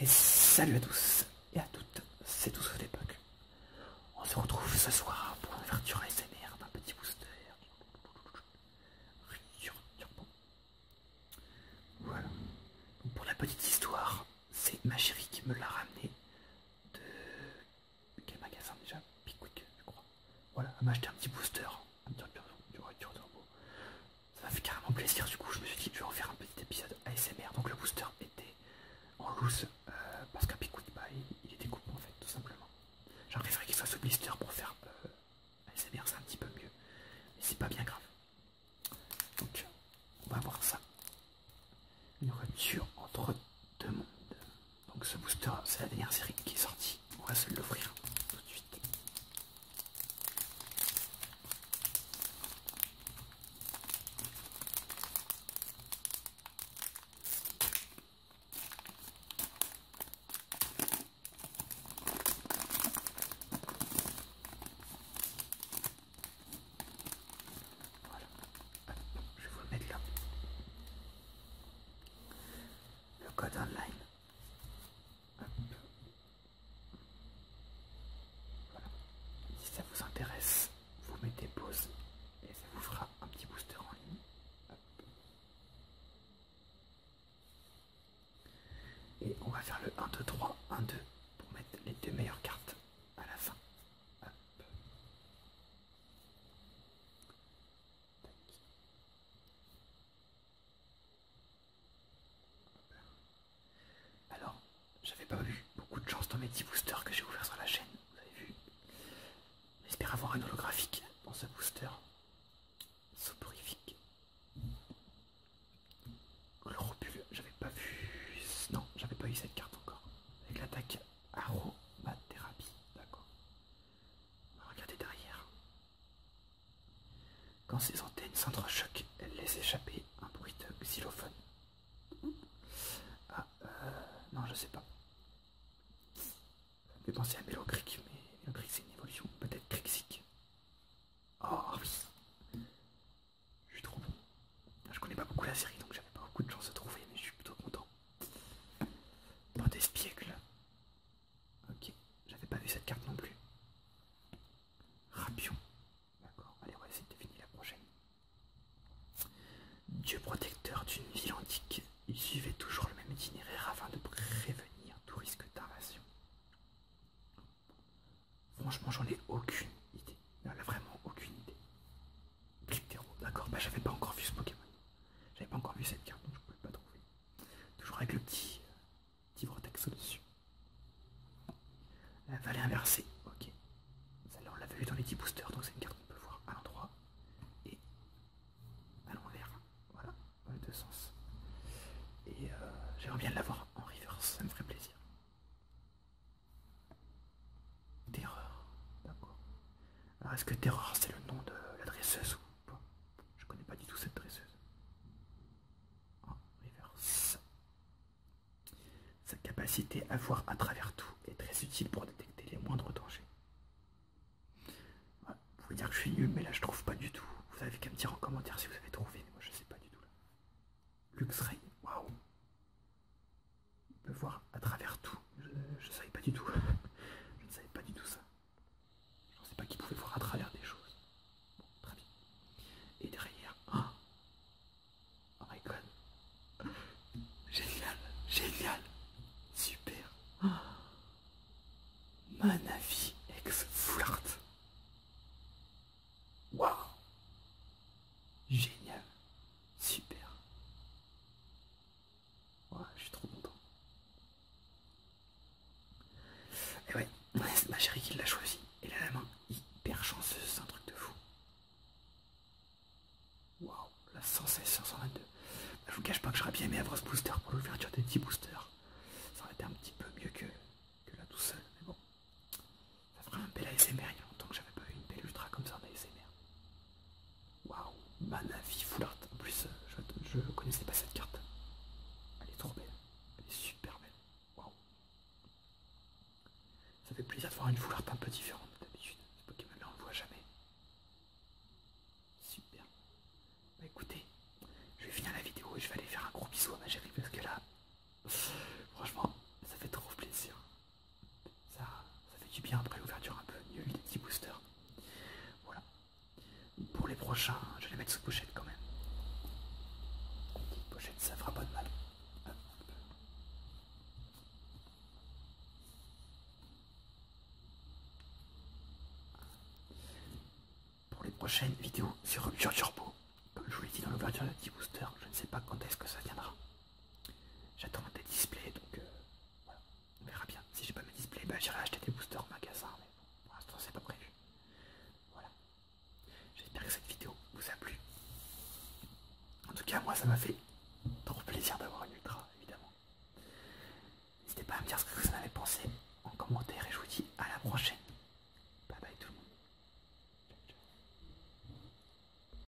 Et salut à tous et à toutes, c'est tous l'époque. On se retrouve ce soir pour l'ouverture ASMR d'un petit booster. Voilà. pour la petite histoire, c'est ma chérie qui me l'a ramené de quel magasin déjà Pickwick, je crois. Voilà, elle m'a acheté un petit booster, un turbo ça m'a fait carrément plaisir du coup je me suis dit je vais en faire un petit épisode ASMR donc le booster était en loose euh, parce qu'à picou bah, il, il était coupé en fait tout simplement j'aurais préféré qu'il soit sous blister pour faire euh, ASMR c'est un petit peu mieux mais c'est pas bien grave donc on va voir ça une rupture entre deux mondes donc ce booster c'est la dernière série qui est sortie on va se l'ouvrir tout de suite je vais vous mettre là. Le code online. Si ça vous intéresse, vous mettez pause et ça vous fera un petit booster en ligne. Et on va faire le 1, 2, 3, 1, 2 pour mettre les deux meilleures cartes à la fin. Alors, j'avais pas eu beaucoup de chance dans mes 10 boosters que j'ai ouvert sur la chaîne, vous avez vu. J'espère avoir un holographique dans ce booster. Soporifique. Le j'avais pas vu... Non, j'avais pas eu cette carte encore. Avec l'attaque aromathérapie, d'accord. Regardez derrière. Quand ces antennes s'entrechoquent, elle laisse échapper un bruit de xylophone. Ah, euh, non, je sais pas. Ça me penser à Creek, mais un c'est une évolution, peut-être Crixic. Oh oui Je suis trop bon. Je connais pas beaucoup la série, donc j'avais pas beaucoup de chance de trouver, mais je suis plutôt content. Dans des là. Ok, j'avais pas vu cette carte non plus. Rapion. D'accord, allez, on va essayer de définir la prochaine. Dieu protecteur d'une ville antique, il suivait toujours le même itinéraire afin de prévenir tout risque d'invasion. Franchement, j'en ai aucune idée. Non, vraiment aucune idée. d'accord, bah j'avais pas encore vu ce Pokémon. J'avais pas encore vu cette carte, donc je pouvais pas trouver. Toujours avec le petit, petit vortex au-dessus. La valet inversée, ok. celle on l'avait vu dans les 10 boosters, donc c'est une carte qu'on peut voir à l'endroit. Et à l'envers, voilà, dans les deux sens. Et euh, j'aimerais bien l'avoir en reverse, ça me ferait plaisir. D'erreur, d'accord. Alors, est-ce que Terreur, c'est le nom de la dresseuse ou pas Je connais pas du tout cette dresseuse. Oh, reverse. Sa capacité à voir à travers tout est très utile pour détecter les moindres dangers. vous pouvez dire que je suis nul, mais là je trouve pas du tout. Vous avez qu'à me dire en commentaire si vous avez trouvé, mais moi je sais pas du tout là. Luxray. waouh! On peut voir à travers tout. Je, ne savais pas du tout. Je ne savais pas du tout ça. Je ne pensais pas qu'il pouvait voir à travers des choses. très Et derrière. Oh, oh Génial. Génial. Super. ah, Manavi ex flirt. Wow. Génial. Super je suis trop content. Et ouais, ma chérie qui l'a choisi. et a la main hyper chanceuse, c'est un truc de fou. Waouh, la 116 122. Bah, je vous cache pas que j'aurais bien aimé avoir ce booster pour l'ouverture des 10 boosters. Ça aurait été un petit peu mieux que, que là tout seul, mais bon. Ça ferait un bel ASMR, il y a longtemps que j'avais pas eu une belle ultra comme ça en ASMR. Waouh, vie foulard. En plus, je ne connaissais pas cette carte. Elle est trop belle. Elle est super belle. Waouh. Ça fait plaisir de voir une Foulard un peu différente d'habitude. Ce Pokémon-là, on ne le voit jamais. Super. Bah écoutez, je vais finir la vidéo et je vais aller faire un gros bisou à ma parce que là, franchement, ça fait trop plaisir. Ça, ça fait du bien après l'ouverture un peu. Il y a des petits boosters. Voilà. Pour les prochains, je vais les mettre sous pochette quand même. petite pochette, ça fera pas de mal. Pour les prochaines vidéos sur Rupture Turbo, comme je vous l'ai dit dans l'ouverture de petits booster, je ne sais pas quand est-ce que ça viendra. J'attends des displays donc euh, On verra bien. Si j'ai pas mes displays, bah, j'irai acheter des boosters au magasin, mais pour l'instant c'est pas prévu. Voilà. J'espère que cette vidéo vous a plu. En tout cas, moi ça m'a fait trop plaisir d'avoir une ultra, évidemment. N'hésitez pas à me dire ce que vous en avez pensé en commentaire et je vous dis à la prochaine. Bye bye tout le monde.